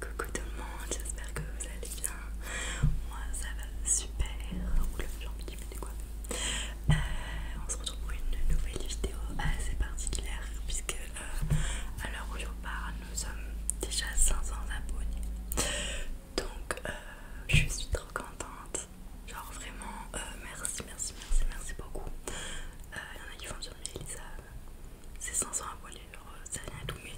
Coucou tout le monde, j'espère que vous allez bien. Moi ça va super. Oula, j'ai envie de me euh, on se retrouve pour une nouvelle vidéo assez particulière puisque euh, à l'heure où je vous parle, nous sommes déjà 500 abonnés. Donc euh, je suis trop contente. Genre vraiment, merci, merci, merci, merci beaucoup. Il y en a qui font sur mais Elisa, c'est 500 abonnés, ça vient tout, mais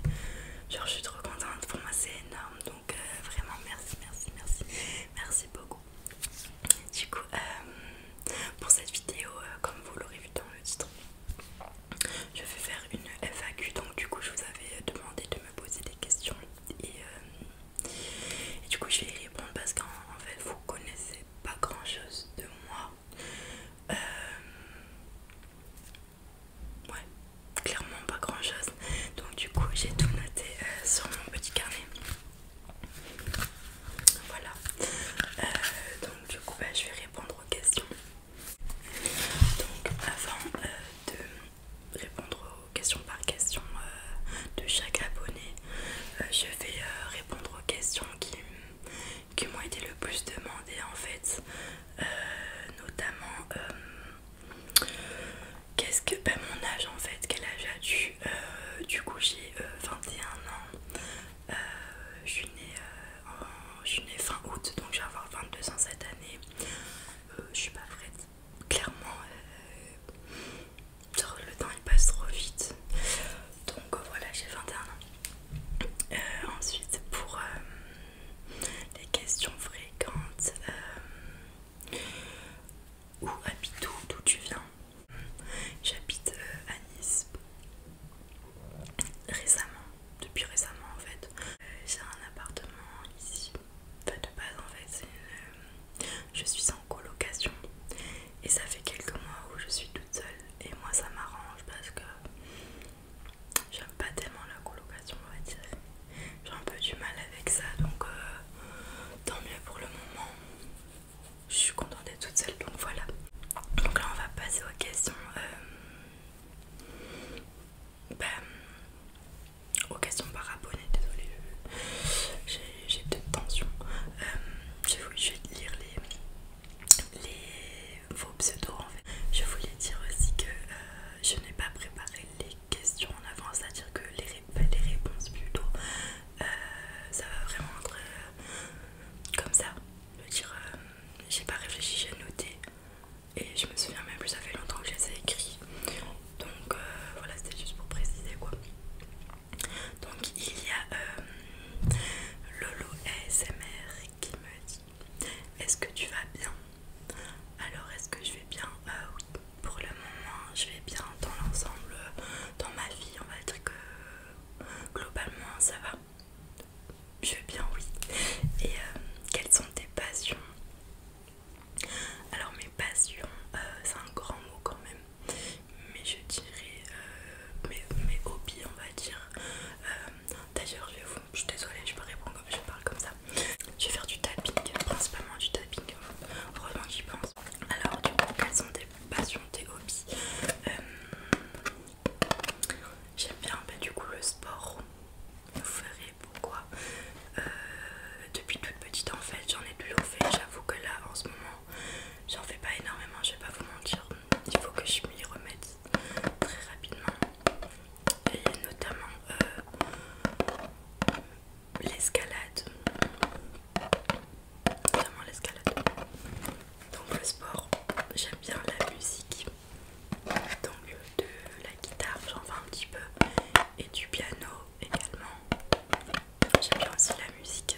je suis trop contente, pour moi c'est énorme, donc euh, vraiment merci, merci, merci, merci beaucoup. Du coup, euh, pour cette vidéo, euh, comme vous l'aurez vu dans le titre, je vais faire une FAQ, donc du coup je vous avais demandé de me poser des questions et, du coup je vais y répondre parce qu'en fait vous connaissez pas grand chose de moi euh, ouais, clairement pas grand chose. Donc, du coup, j'ai tout noté euh, sur mon petit carnet. Voilà. Euh, donc, du coup, bah, je vais répondre aux questions. Donc, avant de répondre aux questions par question de chaque abonné, je vais répondre aux questions qui qui m'ont été le plus demandées en fait, euh, notamment euh, qu'est-ce que pas ben, mon âge en fait, quel âge a tu euh, Du coup j'ai 21 ans, je suis née, fin août donc je vais avoir 22 ans cette année, je suis pas prête clairement. le temps il passe trop vite donc euh, voilà, j'ai 21 ans. Euh, ensuite, pour euh, les questions fréquentes, où habites-tu, d'où tu viens J'habite à Nice récemment, depuis récemment en fait. j'ai un appartement ici, enfin de base en fait, je suis en colocation et ça fait quelques mois où je suis toute seule et moi ça m'arrange parce que j'aime pas tellement la colocation on va dire j'ai un peu du mal avec ça donc euh, tant mieux pour le moment je suis contente d'être toute seule donc voilà donc là on va passer aux questions euh, ben, aux questions par abonné désolée j'ai peut-être tension euh, je vais lire les les, vos pseudos en fait. Je voulais dire aussi que euh, je n'ai pas préparé les questions en avance, c'est-à-dire que les, réponses plutôt, euh, ça va vraiment être euh, comme ça. Je veux dire, j'ai pas réfléchi, j'ai noté et je me souviens même plus, ça fait longtemps que je les ai écrits. Donc voilà, c'était juste pour préciser quoi. Donc il y a euh, Lolo ASMR qui me dit Est-ce que tu vas bien Alors est-ce que je vais bien euh, Oui, pour le moment je vais bien dans l'ensemble, dans ma vie on va dire que globalement ça va. Je vais bien oui. Et euh, quelles sont tes passions alors mes passions, c'est un grand mot quand même mais je dirais euh, mes, hobbies on va dire euh, d'ailleurs je, vais vous, je suis désolée je, peux répondre, je parle comme ça je vais faire du tapping principalement du tapping heureusement j'y pense alors du coup quelles sont tes passions tes hobbies euh, j'aime bien bah, du coup le sport vous verrez pourquoi depuis toute petite en fait j'en ai toujours fait j'avoue que là en ce moment j'en fais pas énormément, je vais pas vous mentir. Il faut que je m'y remette très rapidement. Et notamment euh, l'escalade. Notamment l'escalade. Donc le sport, j'aime bien la musique. Donc de la guitare, j'en fais un petit peu. Et du piano également. J'aime bien aussi la musique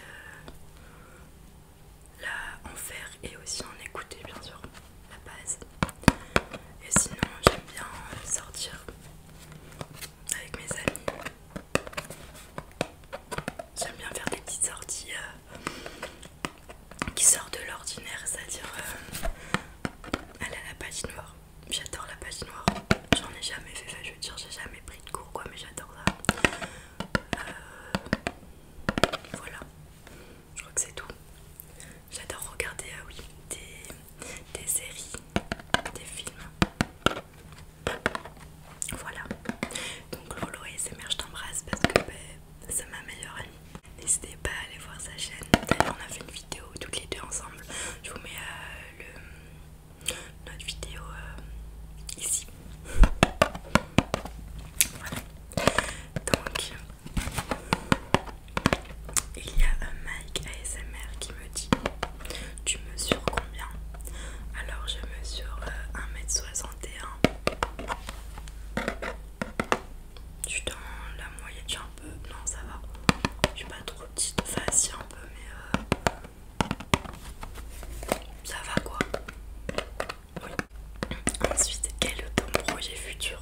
euh, en faire et aussi en écouter bien sûr la base. Et sinon j'aime bien sortir avec mes amis. J'aime bien faire des petites sorties euh, qui sortent de l'ordinaire, c'est-à-dire euh, la à la noire, J'adore la page noire J'en ai jamais fait, je veux dire, j'ai jamais pris de cours quoi, mais j'adore ça. Euh, voilà, je crois que c'est tout. J'adore regarder, ah oui, des, séries, des films. Voilà. Donc Lolo et mères je t'embrasse parce que bah, c'est ma meilleure amie. N'hésitez pas à aller voir sa chaîne. on a fait une vidéo toutes les deux ensemble. Je vous mets euh, le notre vidéo euh, ici. Voilà. Donc, il y a un Mike ASMR qui me dit Tu mesures combien Alors, je mesure 1m61. Euh, je suis dans la moyenne, j'ai un peu. Non, ça va. Je suis pas trop petite, enfin, un peu, mais. Euh, ça va quoi Oui. Ensuite, quel est ton projet futur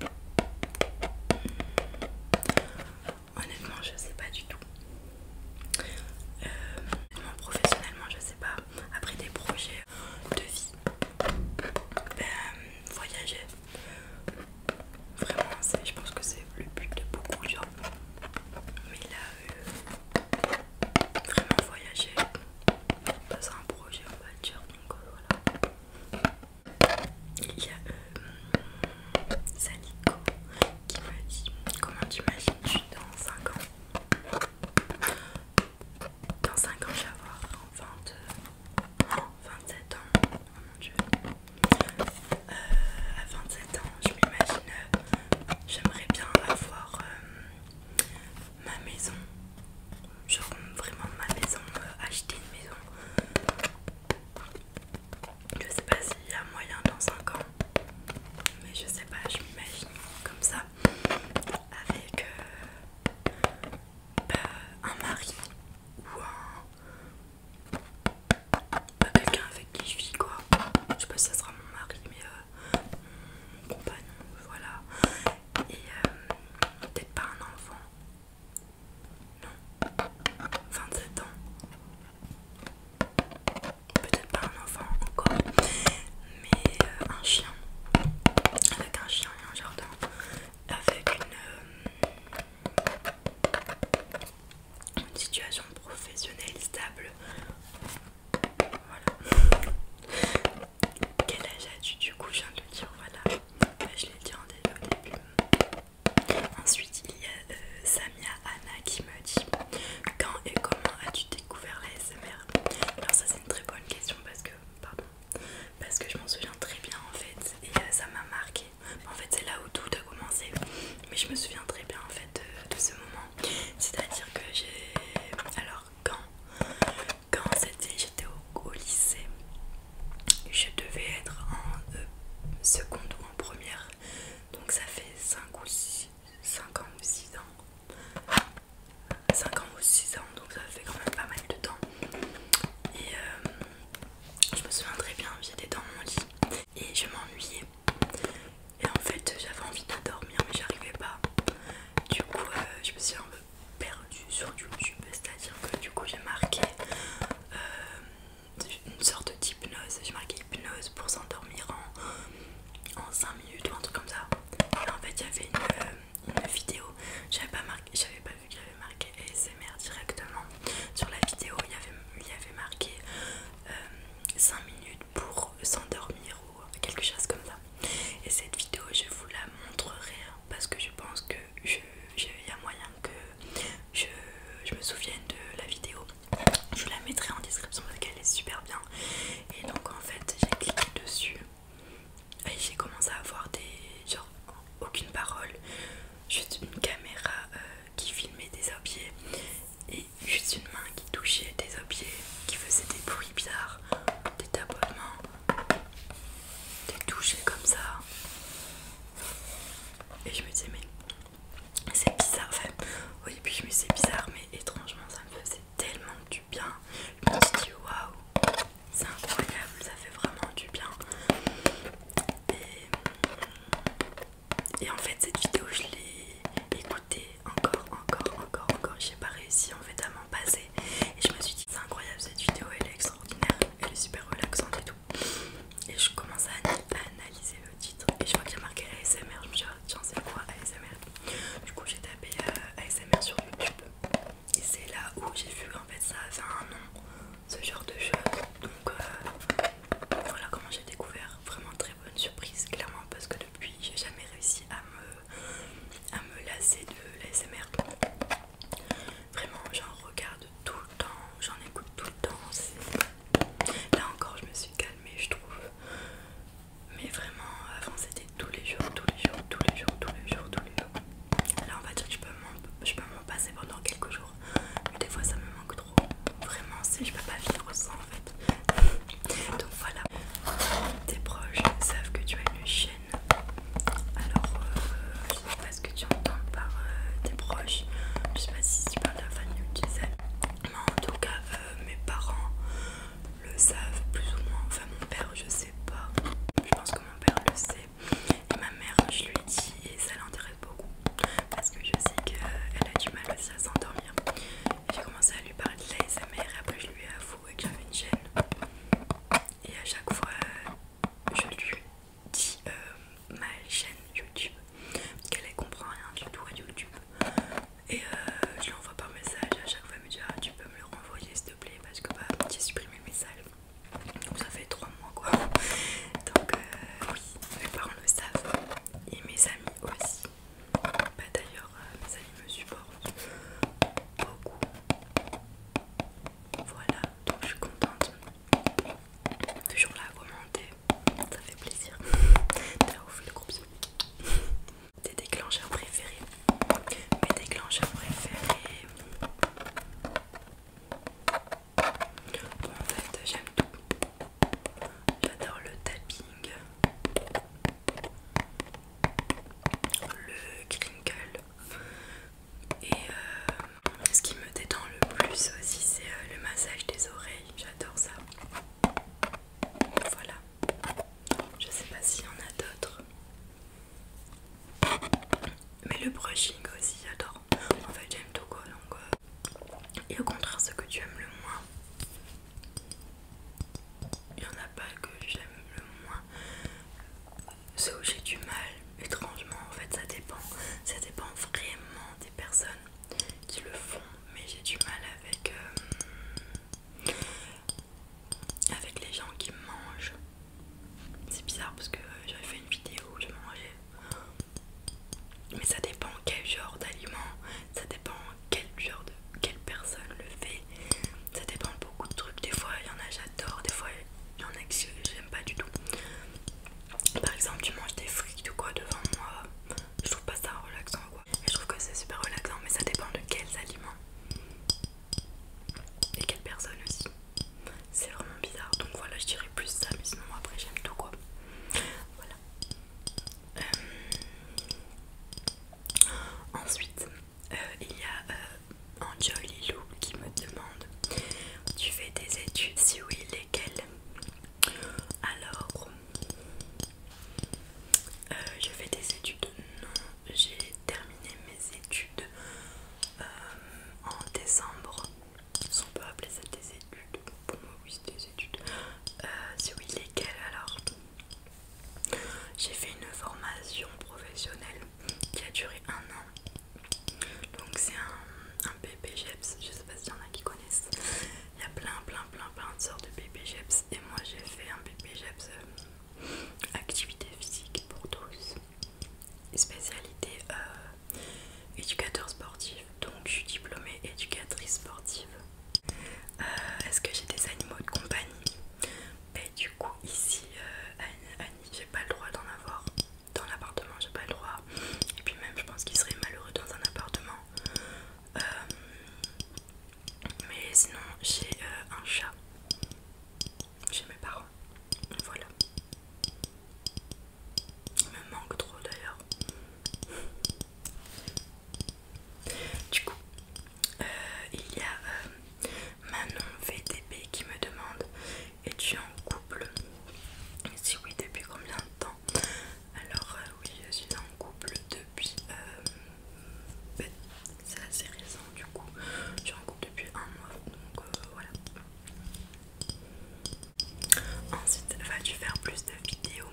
hmm. Honnêtement, je sais pas du tout. Euh, professionnellement, je sais pas. Après des projets de vie, ben, voyager. Vraiment, je pense que c'est le but de beaucoup de gens. Mais là, veux vraiment voyager, passer un projet on va donc euh, voilà. Il y a euh, Saliko qui m'a dit comment je suis dans 5 ans Dans 5 ans je vais avoir 27 euh, ans, oh mon dieu. Euh, à 27 ans, je m'imagine, euh, j'aimerais bien avoir euh, ma maison, genre vraiment ma maison, acheter une maison. Je sais pas s'il y a moyen dans 5 ans, mais je sais pas, je m'imagine comme ça, avec bah, un mari ou un pas bah, quelqu'un avec qui je vis quoi. Je sais pas si ça sera mon mari, mais euh, mon compagnon, voilà. Et euh, peut-être pas un enfant. Non. 27 ans. Peut-être pas un enfant encore. Mais euh, un chien. Avec un chien et un jardin. Avec une une situation professionnelle stable. Voilà. Quel âge as-tu du coup Je viens de le dire, voilà. Bah, je l'ai dit en début. Ensuite, il y a euh, Samia Anna qui me dit Quand et comment as-tu découvert l'ASMR Alors, ça, c'est une très bonne question parce que, pardon, parce que je m'en souviens très bien en fait, et euh, ça m'a marqué bah, en fait, c'est là où tout a commencé. Mais je me souviens très bien en fait de, ce moment. C'est-à-dire que j'ai. Alors, quand, quand j'étais au, lycée, je devais être en euh, seconde ou en première. Donc, ça fait 5 ou 6, ans ou 6 ans. 5 ans ou 6 ans, donc ça fait quand même pas mal de temps. Et euh, je me souviens très bien, j'étais dans mon lit et je m'ennuyais. Et en fait, j'avais envie de dormir, mais j'arrivais pas. Du coup, euh, je me suis un peu perdue sur YouTube, c'est-à-dire que du coup, j'ai marqué euh, une sorte d'hypnose. J'ai marqué hypnose pour s'endormir en, en 5 minutes ou un truc comme ça. Et en fait, il y avait une, euh, vidéo, j'avais pas, marqué, pas vu que j'avais marqué SMR directement. Sur la vidéo, il y avait, il avait marqué 5 euh, minutes pour s'endormir ou quelque chose comme ça. Et cette vidéo, je vous la montrerai hein, parce que je pense que j'ai y a moyen que je, me souvienne de la vidéo. Je vous la mettrai en description parce qu'elle est super bien. Et donc en fait, j'ai cliqué dessus et j'ai commencé à avoir des genre aucune parole, juste une caméra euh, qui filmait des objets et juste une main qui touchait des objets, qui faisait des bruits bizarres, des tapotements, des touches comme ça. Et je me disais, mais c'est bizarre. fait oui puis je me disais bizarre, mais étrangement, ça me faisait tellement du bien. Je me suis dit, waouh, c'est incroyable, ça fait vraiment du bien. Et, en fait cette vidéo je l'ai écoutée encore, encore, encore, encore. J'ai pas réussi en fait à m'en passer. Et je me suis dit c'est incroyable cette vidéo, elle est extraordinaire, elle est super relaxante et tout. Et je commence à, analyser le titre et je vois qu'il y a marqué ASMR. Je me suis dit ah, tiens c'est quoi ASMR Du coup j'ai tapé euh, ASMR sur YouTube. Et c'est là où j'ai vu en fait ça avait un nom ce genre de choses. Donc euh, voilà comment j'ai découvert. Vraiment très bonne surprise, clairement, parce que depuis, j'ai jamais réussi à me, à me lasser de l'ASMR. Vraiment, j'en regarde tout le temps, j'en écoute tout le temps. Là encore, je me suis calmée, je trouve. Mais vraiment, avant c'était tous les jours, tous les jours, tous les jours, tous les jours, tous les jours. Là, on va dire que je peux passé pendant quelques jours. Mais des fois ça me manque trop. Vraiment, C'est je peux pas vivre sans en fait. Donc voilà. Tes proches savent que tu as une chaîne. Alors, je euh, je sais pas ce que tu entends par euh, tes proches. Je sais pas si tu parles de la famille ou tu Mais en tout cas, euh, mes parents le savent plus ou moins. Enfin, mon père, je sais pas. Je pense que mon père le sait et ma mère, je lui ai dit, et ça l'intéresse beaucoup, parce que je sais qu'elle euh, a du mal aussi à s'endormir. J'ai commencé à lui parler de l'ASMR, et après je lui ai avoué que j'avais une chaîne. Et à chaque fois, euh, je lui dis euh, ma chaîne YouTube, parce qu'elle comprend rien du tout à YouTube. Et je lui envoie par message à chaque fois, elle me dit ah, tu peux me le renvoyer s'il te plaît, parce que bah, j'ai supprimé mes message. Donc ça fait 3 mois quoi. Donc euh, oui, mes parents le savent et mes amis aussi. Bah d'ailleurs, euh, mes amis me supportent beaucoup. Voilà, donc je suis contente. Toujours là à commenter, ça fait plaisir. T'as ouf le groupe. Tes déclencheurs préférés Mes déclencheurs préférés Bon, en fait, j'aime tout. J'adore le tapping, le crinkle. Et euh, ce qui me détend le plus aussi, c'est euh, le massage des oreilles. J'adore ça. Voilà. Je sais pas s'il y en a d'autres. Mais le brushing aussi, j'adore. En fait, j'aime tout quoi. Donc, euh. Et au contraire, ce que tu aimes le moins, il n'y en a pas que j'aime le moins. C'est où j'ai du mal, étrangement. En fait, ça dépend. Ça dépend vraiment des personnes qui le font. Mais j'ai du mal avec, euh, avec les gens qui mangent. C'est bizarre parce que j'avais fait une vidéo où je mangeais. Mais ça dépend quel genre d'aliment, ça dépend quel genre de quelle personne le fait. Ça dépend beaucoup de trucs. Des fois il y en a j'adore, des fois il y en a que j'aime pas du tout. Par exemple tu manges des frites ou quoi devant moi. Je trouve pas ça relaxant quoi. je trouve que c'est super relaxant mais ça dépend de quels aliments. Et quelle personne aussi. C'est vraiment bizarre. Donc voilà, je dirais plus ça, mais sinon après j'aime tout quoi. Voilà. Euh, ensuite, euh, il y a euh, qui me demande Tu fais des études Si oui, lesquelles Alors, euh, je fais des études non j'ai terminé mes études euh, en décembre. Si on peut appeler ça des études, pour moi oui c'est des études. Euh, c'est oui lesquelles alors J'ai fait une formation professionnelle qui a duré un an. Donc c'est un, un BPGEPS, je sais pas s'il y en a qui connaissent. Il y a plein plein plein plein de sortes de BPGEPS et moi j'ai fait un BPGEPS euh, activité physique pour tous spécialité euh, éducateur sportif, donc je suis diplômée éducatrice sportive. Euh, est-ce que j'ai des animaux de compagnie ben, du coup ici, euh, Annie, j'ai pas le droit d'en avoir. Dans l'appartement, j'ai pas le droit. Et puis même, je pense qu'il serait malheureux dans un appartement. mais sinon, j'ai un chat chez mes parents. Voilà. Il me manque trop d'ailleurs. Du coup, euh, il y a euh, Manon VTP qui me demande Es-tu en couple si oui, depuis combien de temps Alors, euh, oui, je suis en couple depuis ben, c'est assez récent du coup. Tu rencontre depuis un mois donc euh, voilà. Ensuite, vas-tu faire plus de vidéos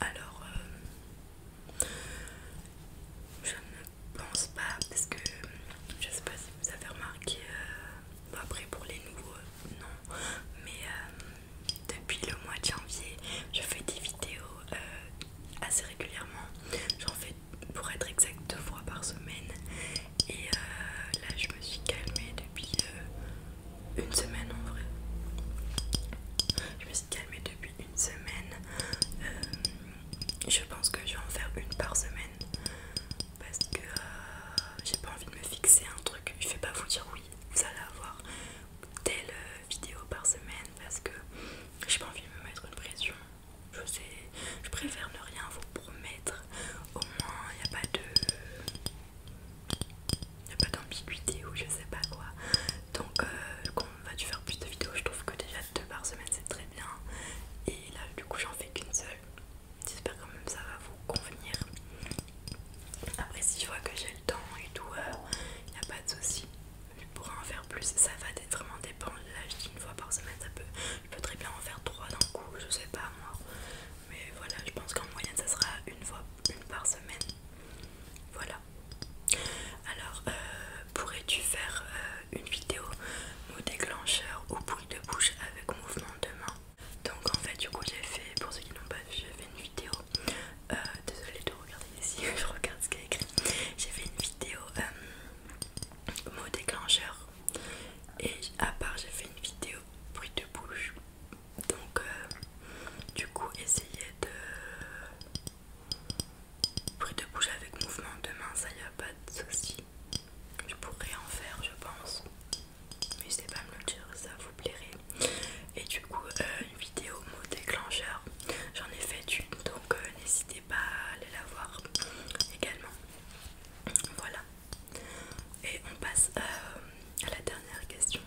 Alors, euh, je ne pense pas parce que je sais pas si vous avez remarqué. Euh, après, pour les nouveaux, non. Mais depuis le mois de janvier, je fais des vidéos assez régulièrement. J'en fais pour être exact deux fois par semaine et euh, là je me suis calmée depuis euh, une semaine en vrai je me suis calmée depuis une semaine euh, je pense que je vais en faire une par semaine parce que j'ai pas envie de me fixer un truc je vais pas vous dire oui vous allez avoir telle vidéo par semaine parce que j'ai pas envie de me mettre une pression je sais, je préfère ne rien vous promettre. Au moins, il n'y a pas de. Il a pas d'ambiguïté ou je sais pas quoi. Donc, euh, quand on va dû faire plus de vidéos, je trouve que déjà deux par semaine c'est très bien. Et là, du coup, j'en fais qu'une seule. J'espère quand même que ça va vous convenir. Après, si je vois que j'ai le temps et tout, il euh, n'y a pas de souci je pourrais en faire plus, ça va vraiment dépendre. Là, je une fois par semaine, ça peut, je peux très bien en faire trois d'un coup, je sais pas moi. Mais voilà, je pense qu'en moyenne, ça sera une fois, une par semaine. Voilà. Alors, euh, pourrais-tu faire euh, une vidéo mot déclencheur ou bruit de bouche avec mouvement de main Donc en fait, du coup, j'ai fait, pour ceux qui n'ont pas vu, j'ai fait une vidéo. Euh, désolé tout regardez ici, je regarde ce qu'il y a écrit. J'ai fait une vidéo euh, mot déclencheur et à part j'ai fait une vidéo bruit de bouche. Donc euh, du coup essayez de bruit de bouche avec mouvement de main, ça y a pas de souci. Je pourrais en faire je pense. mais c'est pas à me le ça vous plairait. Et du coup, euh, vidéo mot déclencheur, j'en ai fait une donc euh, n'hésitez pas à aller la voir également. Voilà, et on passe euh, à la dernière question.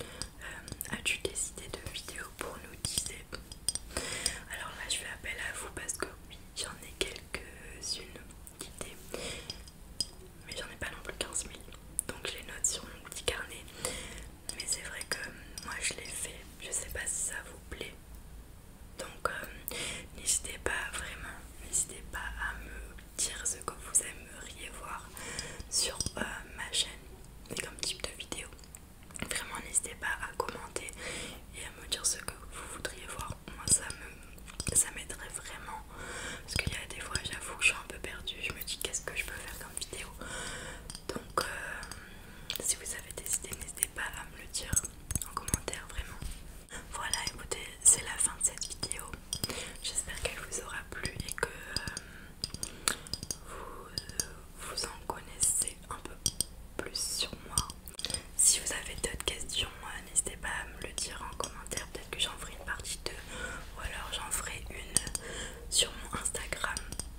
Euh, as-tu des idées de vidéos pour nous teaser Alors là, je fais appel à vous parce que oui, j'en ai quelques-unes d'idées, mais j'en ai pas non plus 15 000. Donc je les note sur mon petit carnet mais c'est vrai que euh, moi je l'ai fait je sais pas si ça vous plaît donc euh, n'hésitez pas vraiment n'hésitez pas à me dire ce que vous aimeriez voir sur euh, ma chaîne et comme type de vidéo vraiment n'hésitez pas à commenter et à me dire ce que vous voudriez voir moi ça ça m'aiderait vraiment parce qu'il y a des fois j'avoue que je suis un peu perdue je me dis qu'est ce que je peux faire comme vidéo donc, euh, si vous avez des idées, n'hésitez pas à me le dire en commentaire, vraiment. Voilà, écoutez, c'est la fin de cette vidéo. J'espère qu'elle vous aura plu et que euh, vous, vous en connaissez un peu plus sur moi. Si vous avez d'autres questions, euh, n'hésitez pas à me le dire en commentaire. Peut-être que j'en ferai une partie 2 ou alors j'en ferai une sur mon Instagram.